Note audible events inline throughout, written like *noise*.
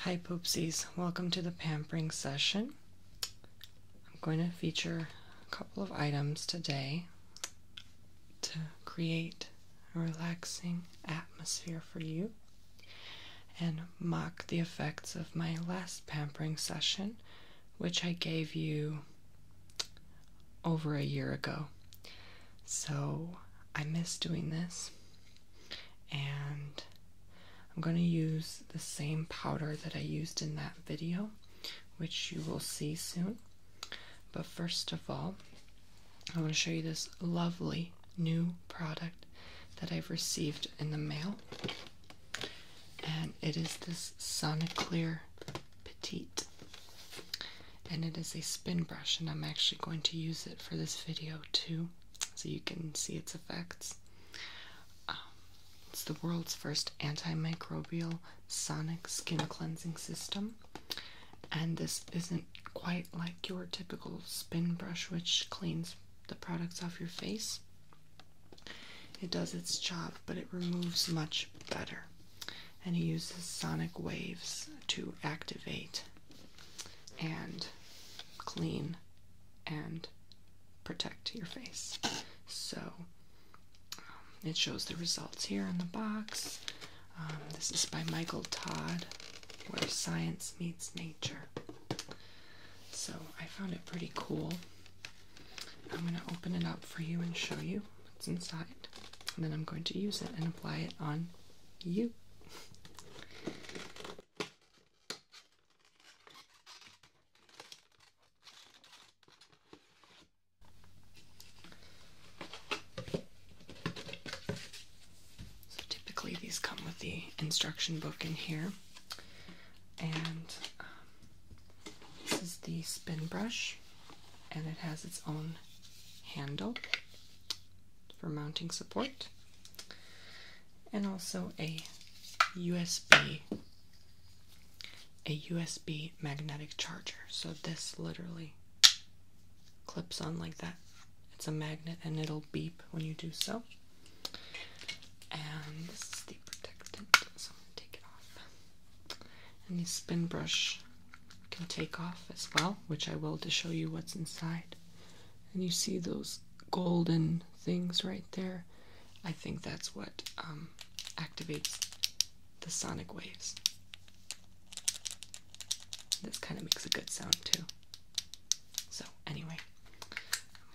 Hi Poopsies, welcome to the pampering session. I'm going to feature a couple of items today to create a relaxing atmosphere for you and mock the effects of my last pampering session, which I gave you over a year ago. So I miss doing this, and I'm going to use the same powder that I used in that video, which you will see soon. But first of all, I want to show you this lovely new product that I've received in the mail. And it is this Soniclear Petite and it is a spin brush and I'm actually going to use it for this video too so you can see its effects. Um, it's the world's first antimicrobial sonic skin cleansing system and this isn't quite like your typical spin brush which cleans the products off your face. It does its job but it removes much better and he uses sonic waves to activate and clean and protect your face. So um, it shows the results here in the box. Um, this is by Michael Todd, where science meets nature. So I found it pretty cool. I'm going to open it up for you and show you what's inside. And then I'm going to use it and apply it on you. So typically these come with the instruction book in here, and um, this is the spin brush, and it has its own handle for mounting support, and also a USB a USB magnetic charger. So this literally clips on like that. It's a magnet and it'll beep when you do so. And this is the protectant, so I'm gonna take it off. And the spin brush can take off as well, which I will to show you what's inside. And you see those golden things right there. I think that's what um, activates the sonic waves. This kind of makes a good sound too. So, anyway,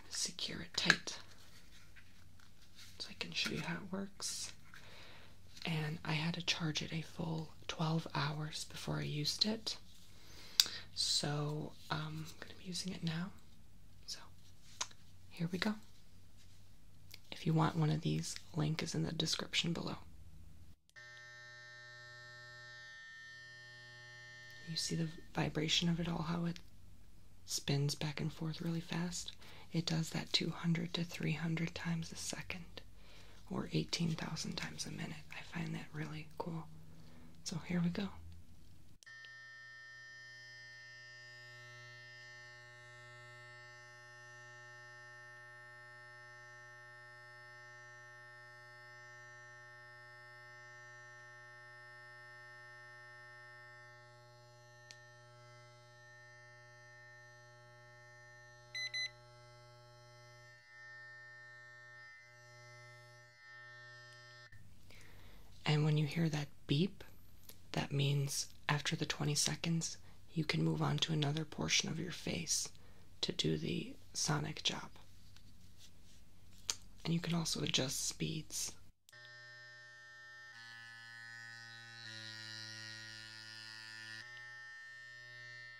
secure it tight so I can show you how it works and I had to charge it a full 12 hours before I used it. So um, I'm going to be using it now. So here we go. If you want one of these, link is in the description below. You see the vibration of it all, how it spins back and forth really fast? It does that 200 to 300 times a second or 18,000 times a minute. I find that really cool. So here we go. And when you hear that beep, that means after the 20 seconds, you can move on to another portion of your face to do the sonic job. And you can also adjust speeds.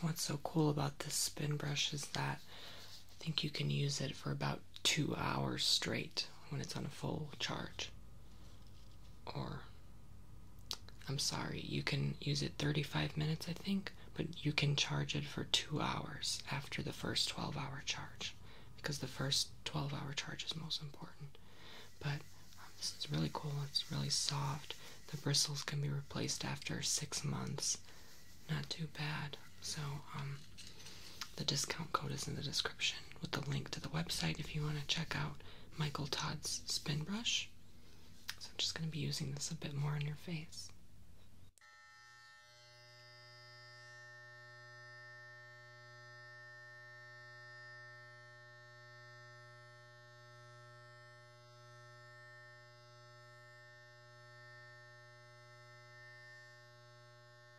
what's so cool about this spin brush is that I think you can use it for about two hours straight when it's on a full charge. Or, I'm sorry, you can use it 35 minutes, I think, but you can charge it for two hours after the first 12 hour charge because the first 12 hour charge is most important. But um, this is really cool, it's really soft. The bristles can be replaced after six months. Not too bad. So, um, the discount code is in the description with the link to the website if you want to check out Michael Todd's spin brush. So I'm just going to be using this a bit more on your face.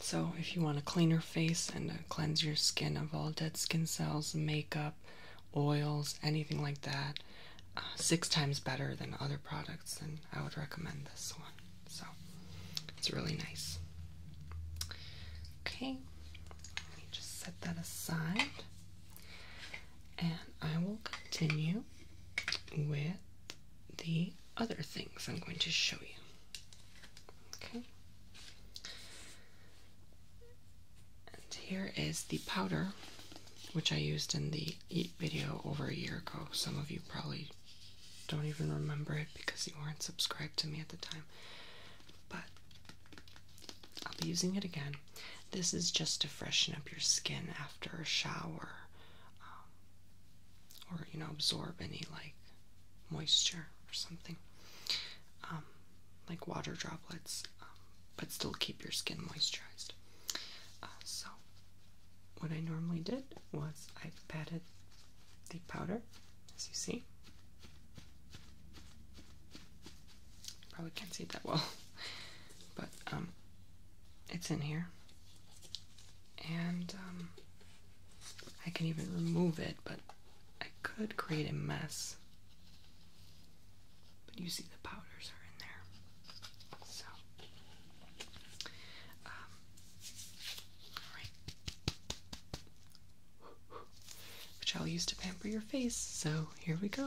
So, if you want to clean your face and uh, cleanse your skin of all dead skin cells, make makeup, oils, anything like that, uh, six times better than other products, and I would recommend this one. So it's really nice. Okay, let me just set that aside. And I will continue with the other things I'm going to show you. Okay. And here is the powder, which I used in the eat video over a year ago. Some of you probably don't even remember it because you weren't subscribed to me at the time. But I'll be using it again. This is just to freshen up your skin after a shower um, or, you know, absorb any like moisture or something, um, like water droplets, um, but still keep your skin moisturized. Uh, so, what I normally did was I patted the powder, as you see. Probably can't see it that well, *laughs* but um, it's in here, and um, I can even remove it, but I could create a mess but you see the powders are in there. So, um, Which I'll use to pamper your face, so here we go.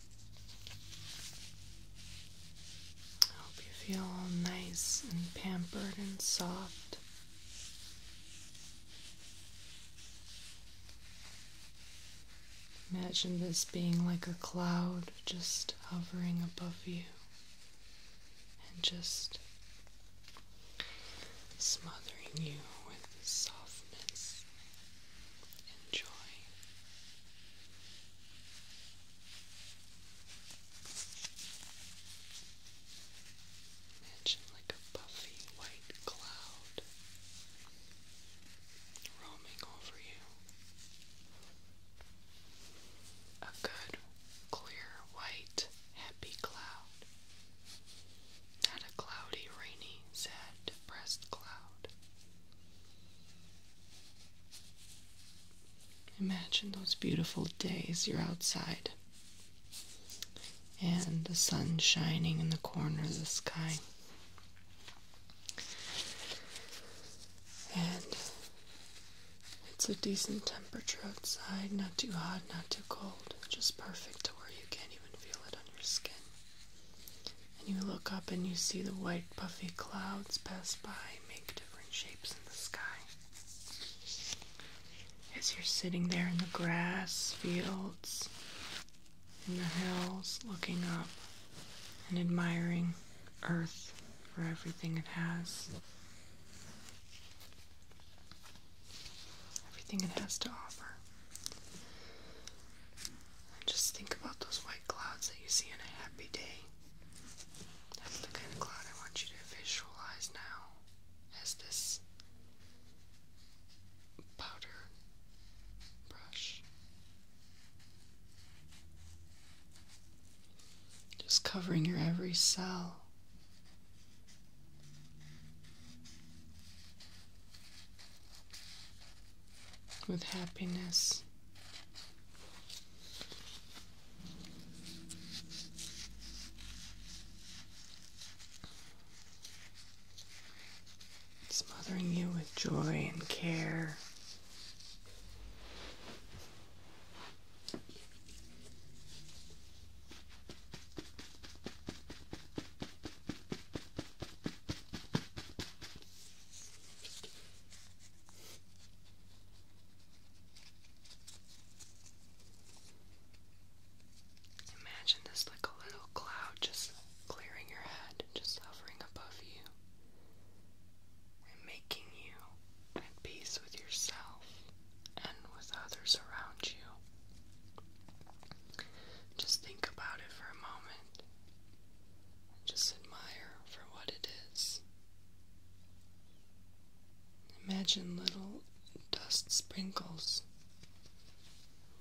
I hope you feel nice and pampered and soft. Imagine this being like a cloud just hovering above you and just smothering you with softness and Imagine like a puffy white cloud roaming over you. A good, clear, white, happy cloud. Not a cloudy, rainy, sad, depressed cloud. Imagine those beautiful days you're outside and the sun shining in the corner of the sky. And it's a decent temperature outside, not too hot, not too cold, just perfect to where you can't even feel it on your skin. And you look up and you see the white puffy clouds pass by, make different shapes in the sky. As you're sitting there in the grass, fields, in the hills, looking up and admiring Earth for everything it has. Everything it has to offer. Just think about those white clouds that you see on a happy day. That's the kind of cloud I want you to visualize now as this powder brush. Just covering your every cell with happiness. Smothering you with joy and care. Imagine this like a little cloud just clearing your head, just hovering above you, and making you at peace with yourself and with others around you. Just think about it for a moment. Just admire for what it is. Imagine little dust sprinkles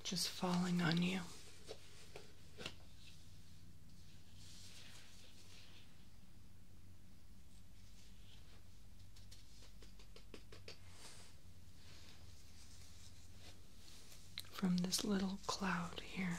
just falling on you. From this little cloud here.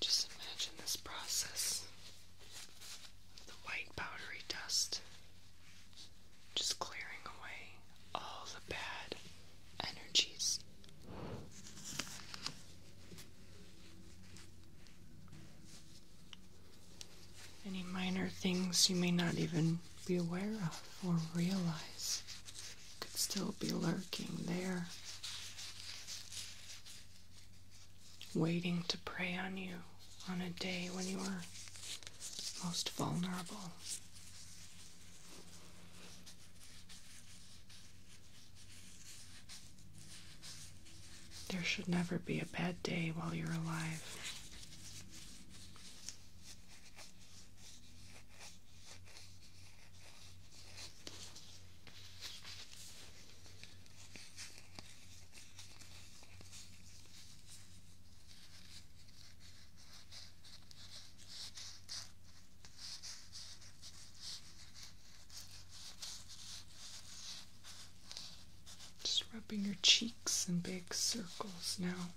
Just imagine this process of the white powdery dust just clearing away all the bad energies. Any minor things you may not even be aware of or realize could still be lurking there, waiting to prey on you on a day when you are most vulnerable. There should never be a bad day while you're alive. Just rubbing your cheeks in big circles now.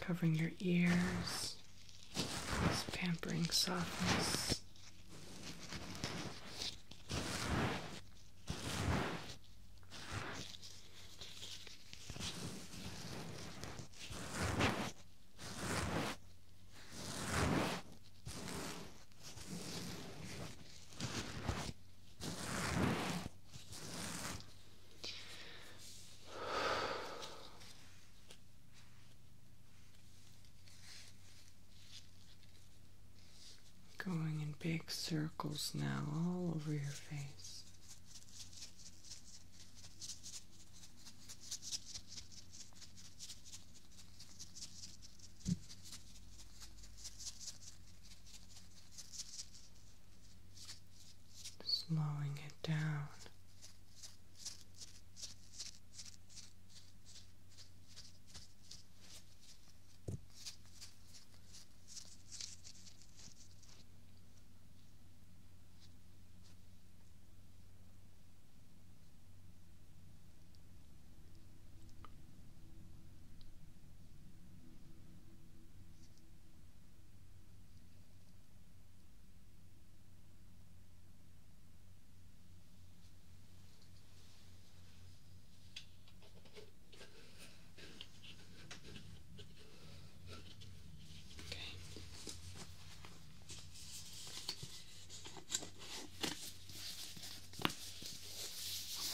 Covering your ears, this pampering softness. Going in big circles now, all over your face slowing it down. Hope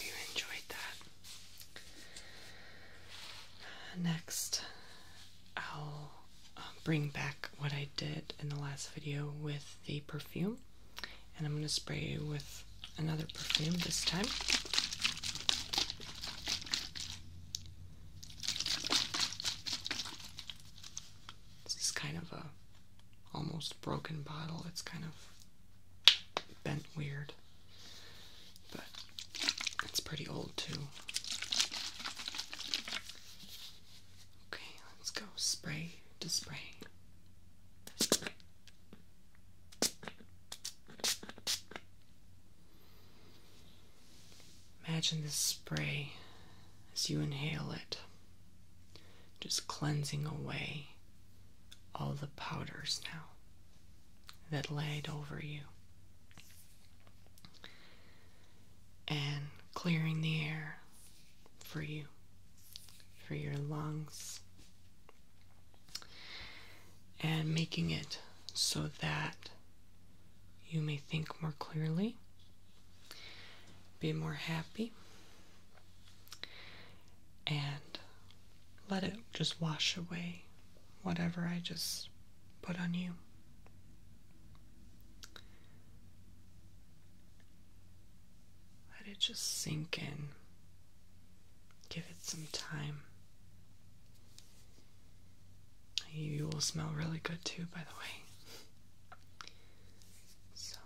you enjoyed that. Next, I'll um, bring back what I did in the last video with the perfume, and I'm going to spray you with another perfume this time. This is kind of a almost broken bottle. It's kind of bent weird, but it's pretty old too. Okay, let's go spray to spray. Imagine this spray as you inhale it, just cleansing away all the powders now that laid over you and clearing the air for you, for your lungs, and making it so that you may think more clearly, be more happy, and let it just wash away whatever I just put on you. Let it just sink in. Give it some time. You will smell really good too, by the way. So,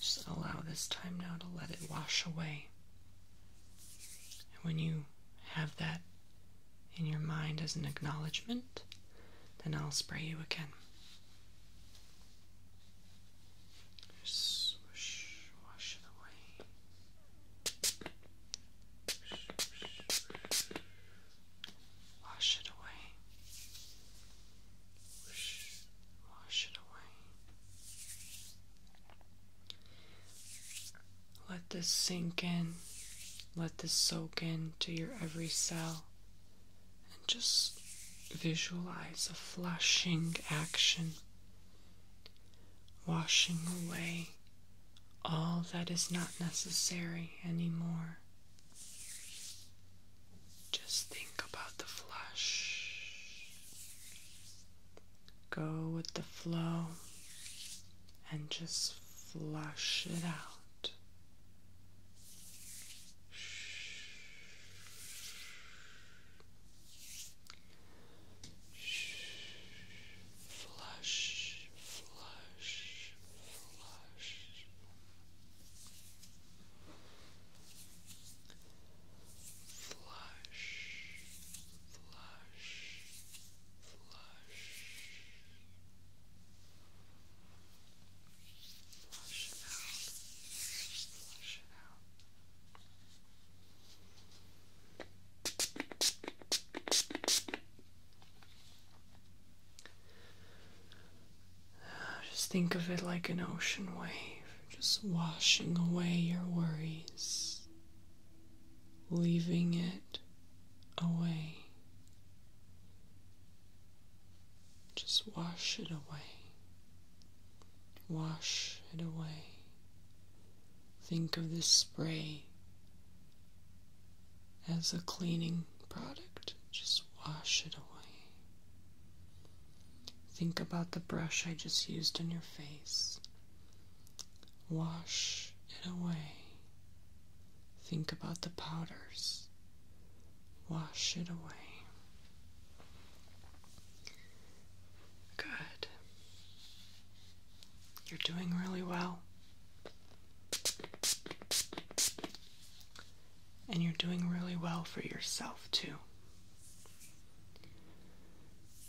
just allow this time now to let it wash away and when you have that in your mind as an acknowledgement, then I'll spray you again. Just wash it away. Wash it away. Wash it away. Let this sink in. Let this soak into your every cell. And just visualize a flushing action, washing away all that is not necessary anymore. Just think about the flush go with the flow and just flush it out. Flush, flush, flush. Flush, flush, flush. Flush it out, flush it out. Just think of it like an ocean wave just washing away your worries, leaving it away. Just wash it away. Wash it away. Think of this spray as a cleaning product. Just wash it away. Think about the brush I just used on your face. Wash it away. Think about the powders. Wash it away. Good. You're doing really well. And you're doing really well for yourself, too.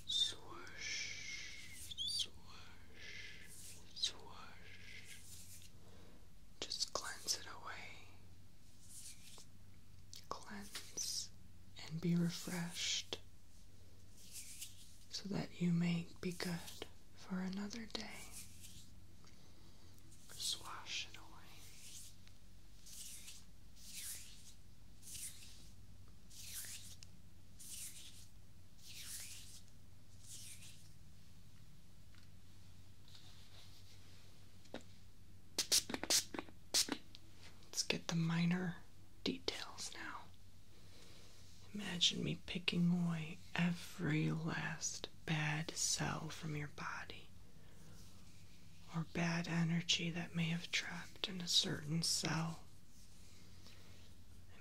Swish, swish, swish. Just cleanse it away. Cleanse and be refreshed so that you may be good for another day. Swash it away. Let's get the minor details now. Imagine me picking away every last bad cell from your body, or bad energy that may have trapped in a certain cell.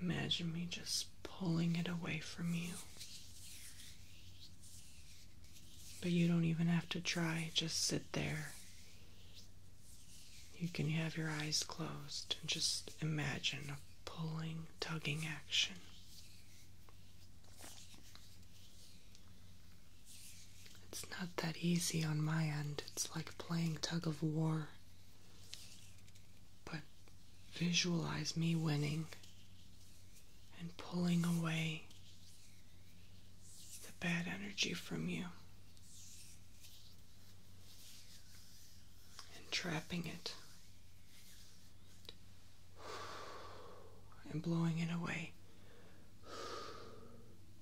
Imagine me just pulling it away from you. But you don't even have to try, just sit there. You can have your eyes closed and just imagine a pulling, tugging action. It's not that easy on my end. It's like playing tug of war. But visualize me winning and pulling away the bad energy from you and trapping it and blowing it away.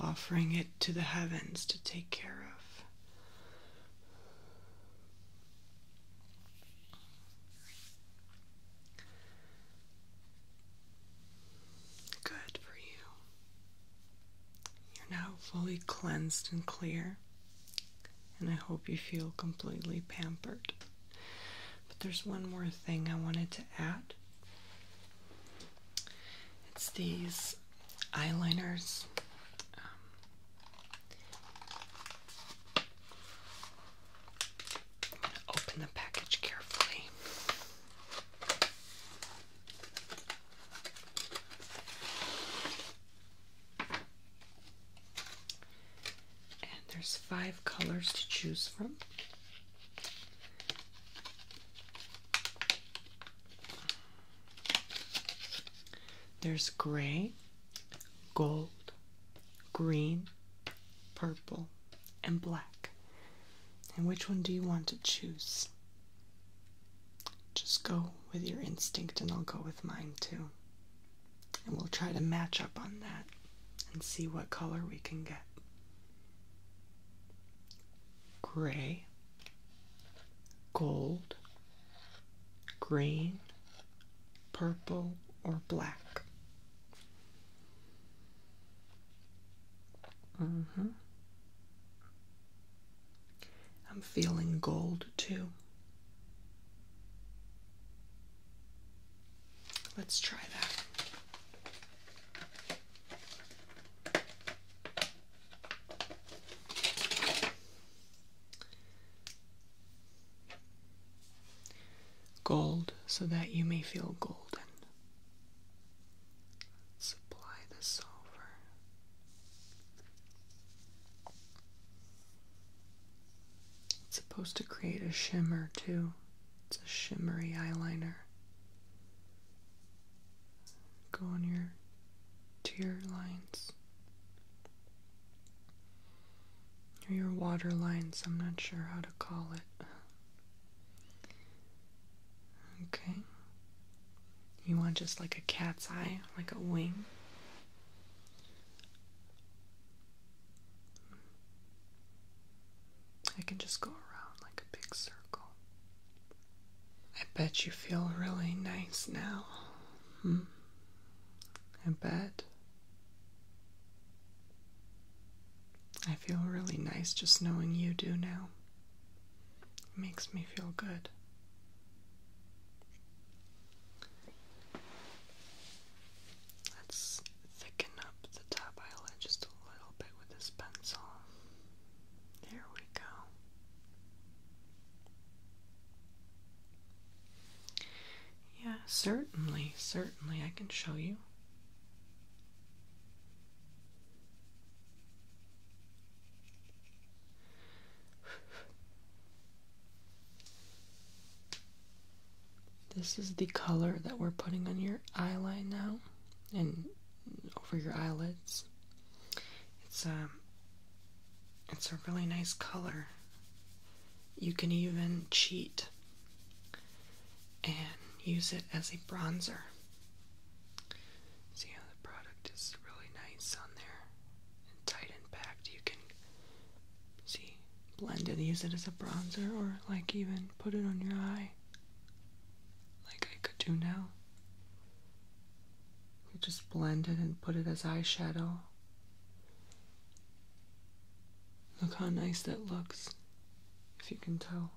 offering it to the heavens to take care of. Good for you. You're now fully cleansed and clear, and I hope you feel completely pampered. But there's one more thing I wanted to add. It's these eyeliners. Um, open the package carefully. And there's five colors to choose from. There's gray, gold, green, purple, and black. And which one do you want to choose? Just go with your instinct, and I'll go with mine too. And we'll try to match up on that and see what color we can get. Gray, gold, green, purple, or black. hmm. I'm feeling gold too. Let's try that. Gold so that you may feel golden. Supply the silver. It's supposed to create a shimmer too. It's a shimmery eyeliner go on your tear lines or your water lines, I'm not sure how to call it. Okay. You want just like a cat's eye, like a wing. I can just go around like a big circle. I bet you feel really nice now. Hmm? I bet. I feel really nice just knowing you do now. It makes me feel good. Let's thicken up the top eyelid just a little bit with this pencil. There we go. Yeah, certainly, certainly, I can show you. This is the color that we're putting on your eyeline now, and over your eyelids. It's a, um, it's a really nice color. You can even cheat and use it as a bronzer. See how the product is really nice on there and tight and packed. You can see blend it, use it as a bronzer, or like even put it on your eye, like I could do now just blend it and put it as eyeshadow. Look how nice that looks, if you can tell.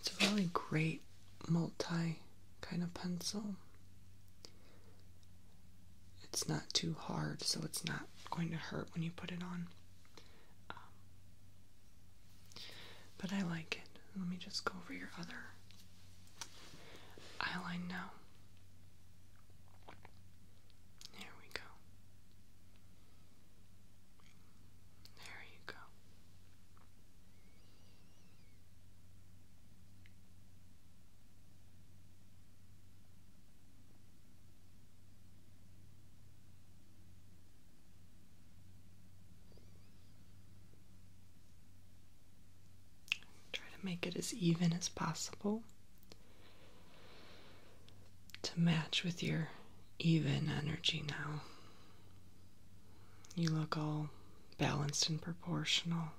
It's a really great multi kind of pencil. It's not too hard, so it's not going to hurt when you put it on. Um, but I like it. Let me just go over your other eyeline now. There we go. There you go. Try to make it as even as possible to match with your even energy now. You look all balanced and proportional.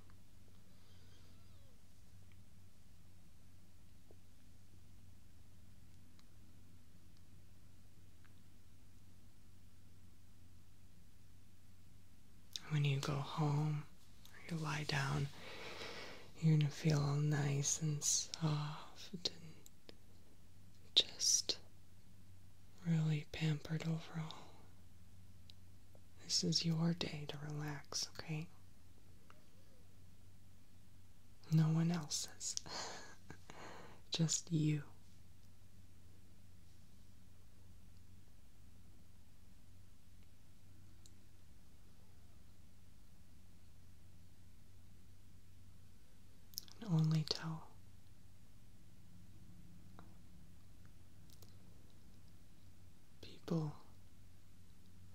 When you go home you lie down, you're going to feel all nice and soft and just really pampered overall. This is your day to relax, okay? No one else's. *laughs* Just you. only tell people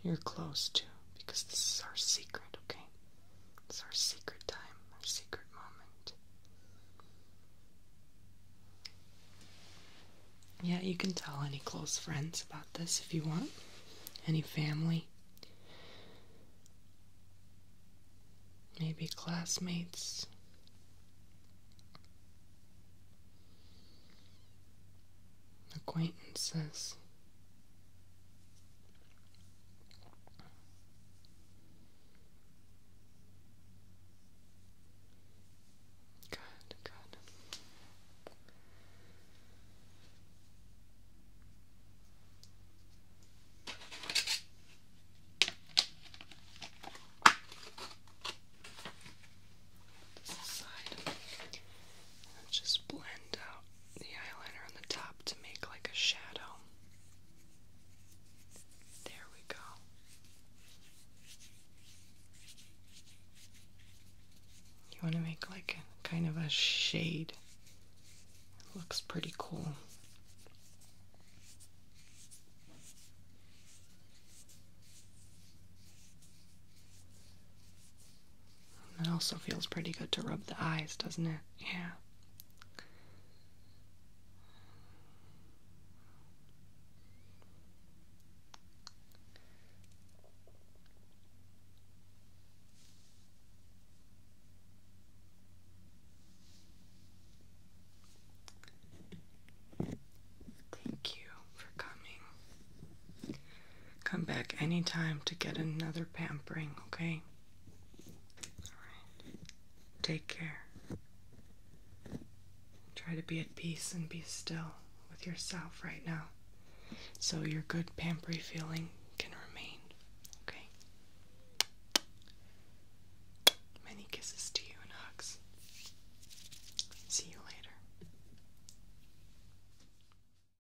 you're close too, because this is our secret, okay? It's our secret time, our secret moment. Yeah, you can tell any close friends about this if you want, any family, maybe classmates acquaintances. Good, good. just blend out the eyeliner on the top to make like a shadow. There we go. You want to make like kind of a shade. looks pretty cool. It also feels pretty good to rub the eyes, doesn't it? Yeah. Thank you for coming. Come back anytime to get another pampering, okay? Alright. Take care. Try to be at peace and be still with yourself right now so your good pampering feeling can remain, okay? Many kisses to you and hugs. See you later.